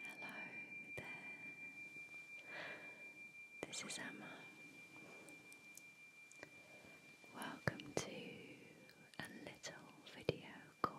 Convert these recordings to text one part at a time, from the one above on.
Hello there. This is Emma. Welcome to a little video called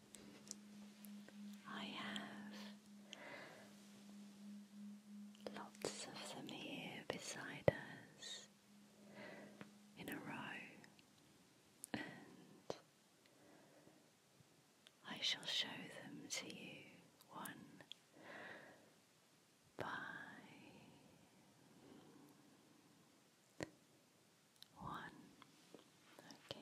I have lots of them here beside us in a row, and I shall show them to you one by one. Okay.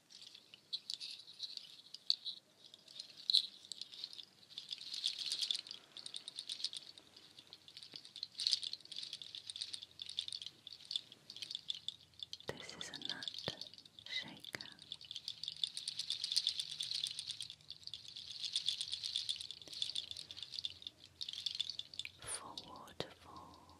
This is a nut shaker. For waterfall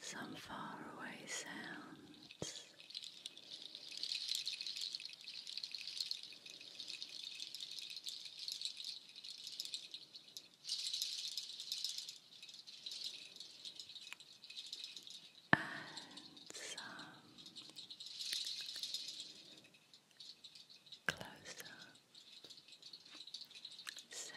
some faraway sounds. And some close up sounds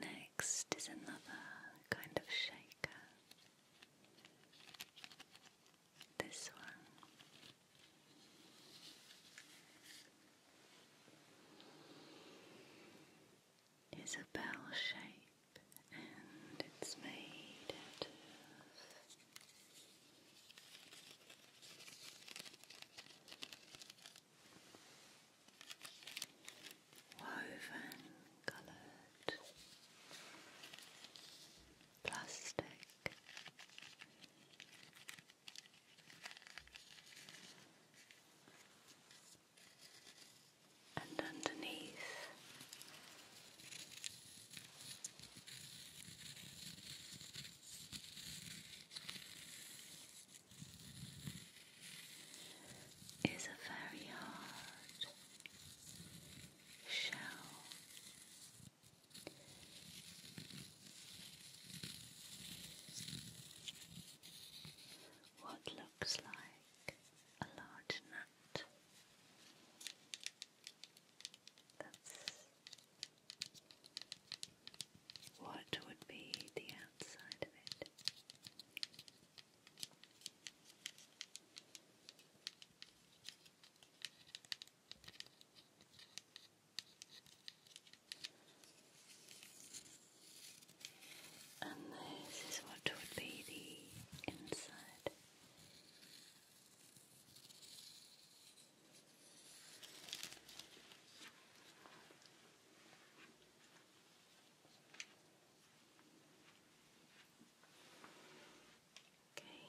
Next is another kind of shaker. This one. It's a bell shape and it's made out of woven coloured plastic and underneath. Is a very hard shell what looks like a large nut. That's what would be the outside of it and this is what would be the inside. Okay.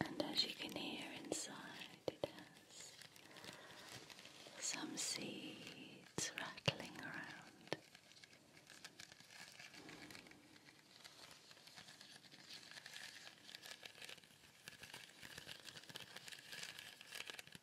And as you can hear inside, it has some seeds rattling around.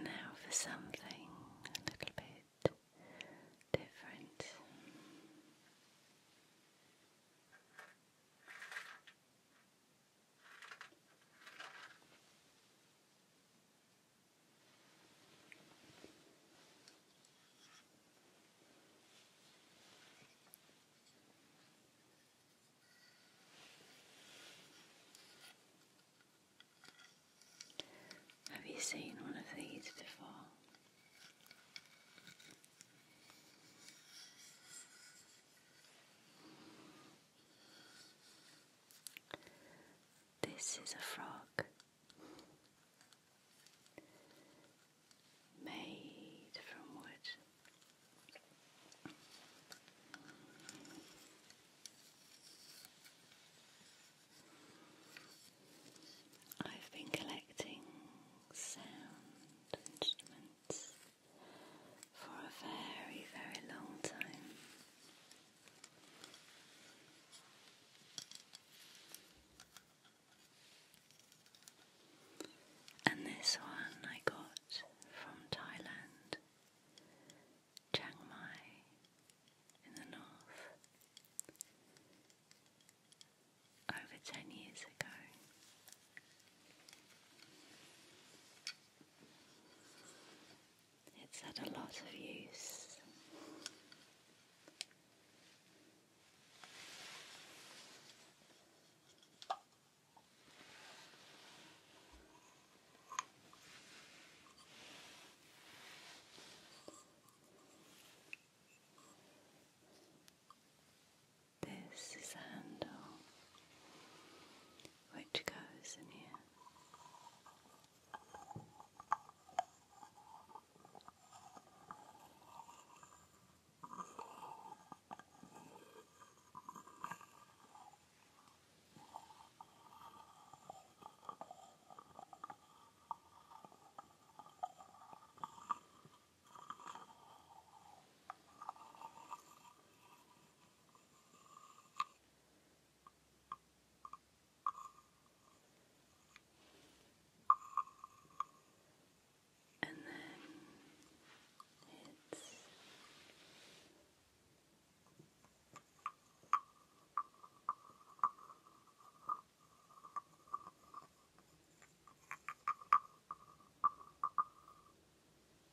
Now for something a little bit different. Have you seen one of these before? This is a frog made from wood. I've been collecting sound instruments for a very, very long time. And this one I got from Thailand, Chiang Mai in the north, over ten years ago. It's had a lot of use. This is a handle which goes in here. And then it's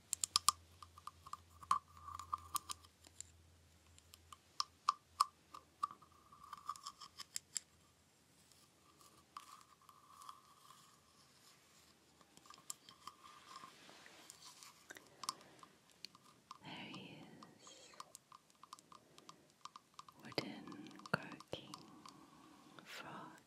There he wooden croaking frog.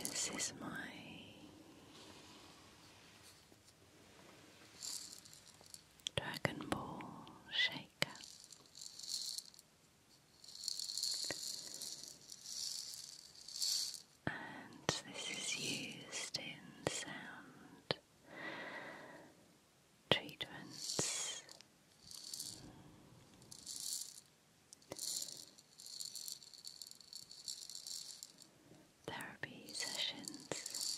This is my Dragon Ball shaker. And this is used in sound treatments. Therapy sessions.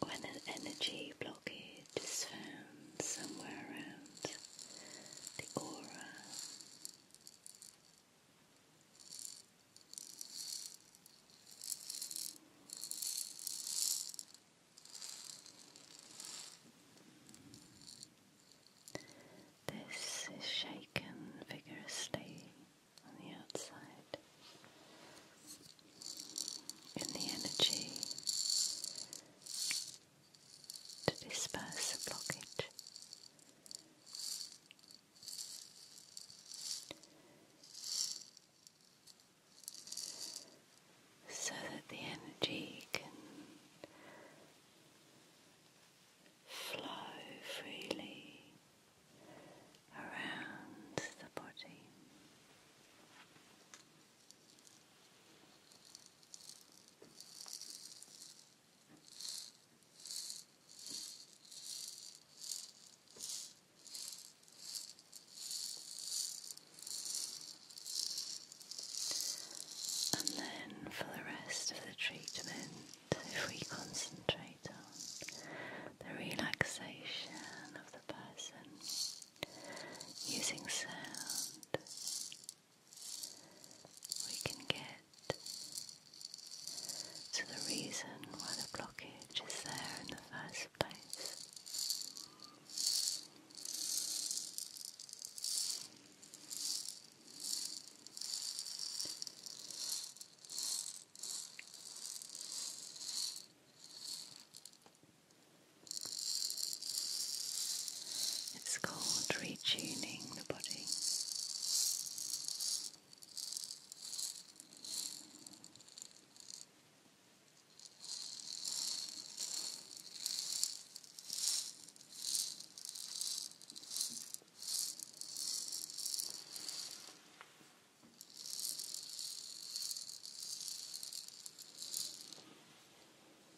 When an energy blockage is found somewhere around the aura, this is shaken vigorously on the outside. In the energy to disperse the blockage. So that the energy can flow freely around the body. And then for the rest of the treatment, if we concentrate on the relaxation of the person using sound we can get to the reason why the blockage is there in the first place. It's called retuning the body.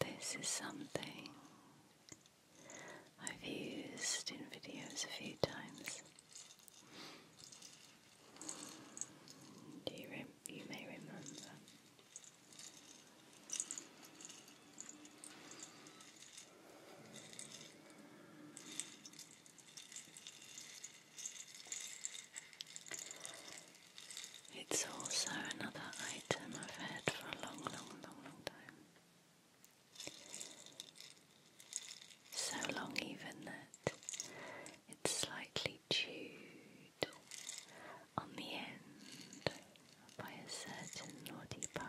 This is something I've used in videos a few times. you may remember. It's also another item I've had for a long, long, long, long time. So long, even that it's slightly chewed on the end by a certain naughty pup.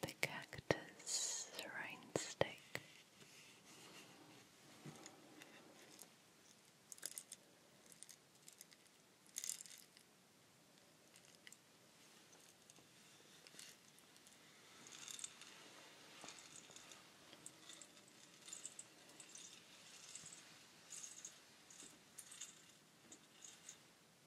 the cactus rhinestake.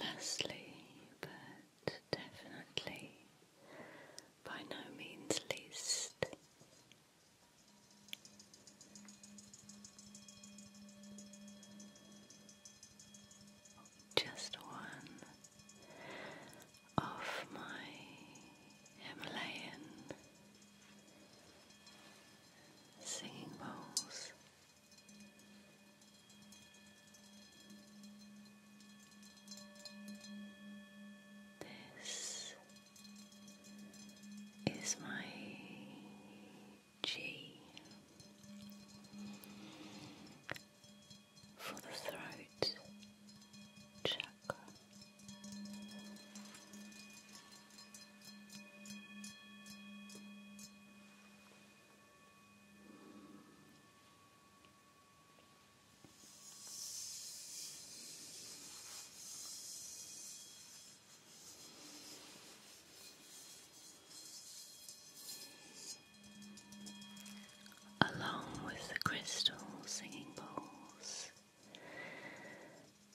Lastly, but definitely by no means least, just one of my Himalayan singing bowls. This is my G for the throat chakra. Along with the crystal singing bowls,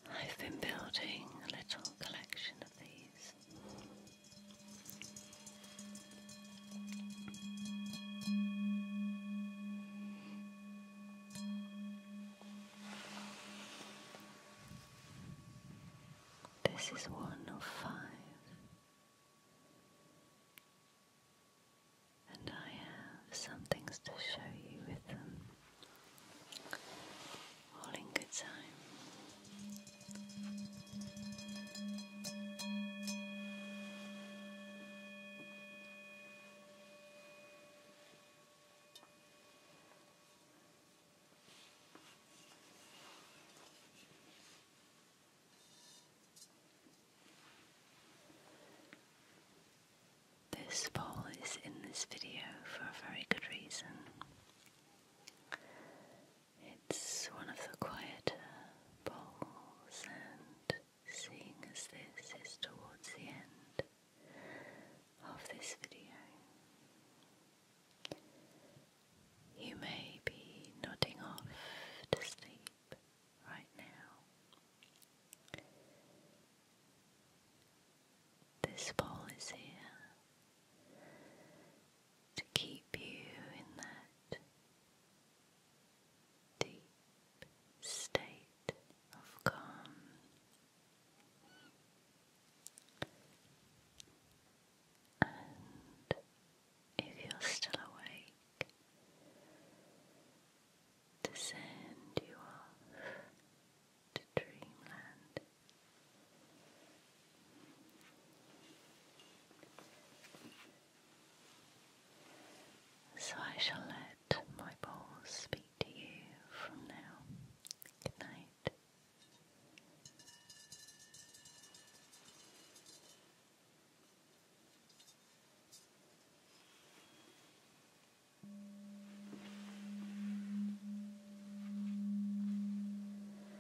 I've been building a little collection of these. This is one of five, and I have some things to show you with them all in good time. This poll is in this video for a very good reason. It's one of the quieter bowls, and seeing as this is towards the end of this video, you may be nodding off to sleep right now. This bowl is here to keep you in that deep state of calm. And if you're still awake, to send you off to dreamland. So I shall let my balls speak to you from now. Good night.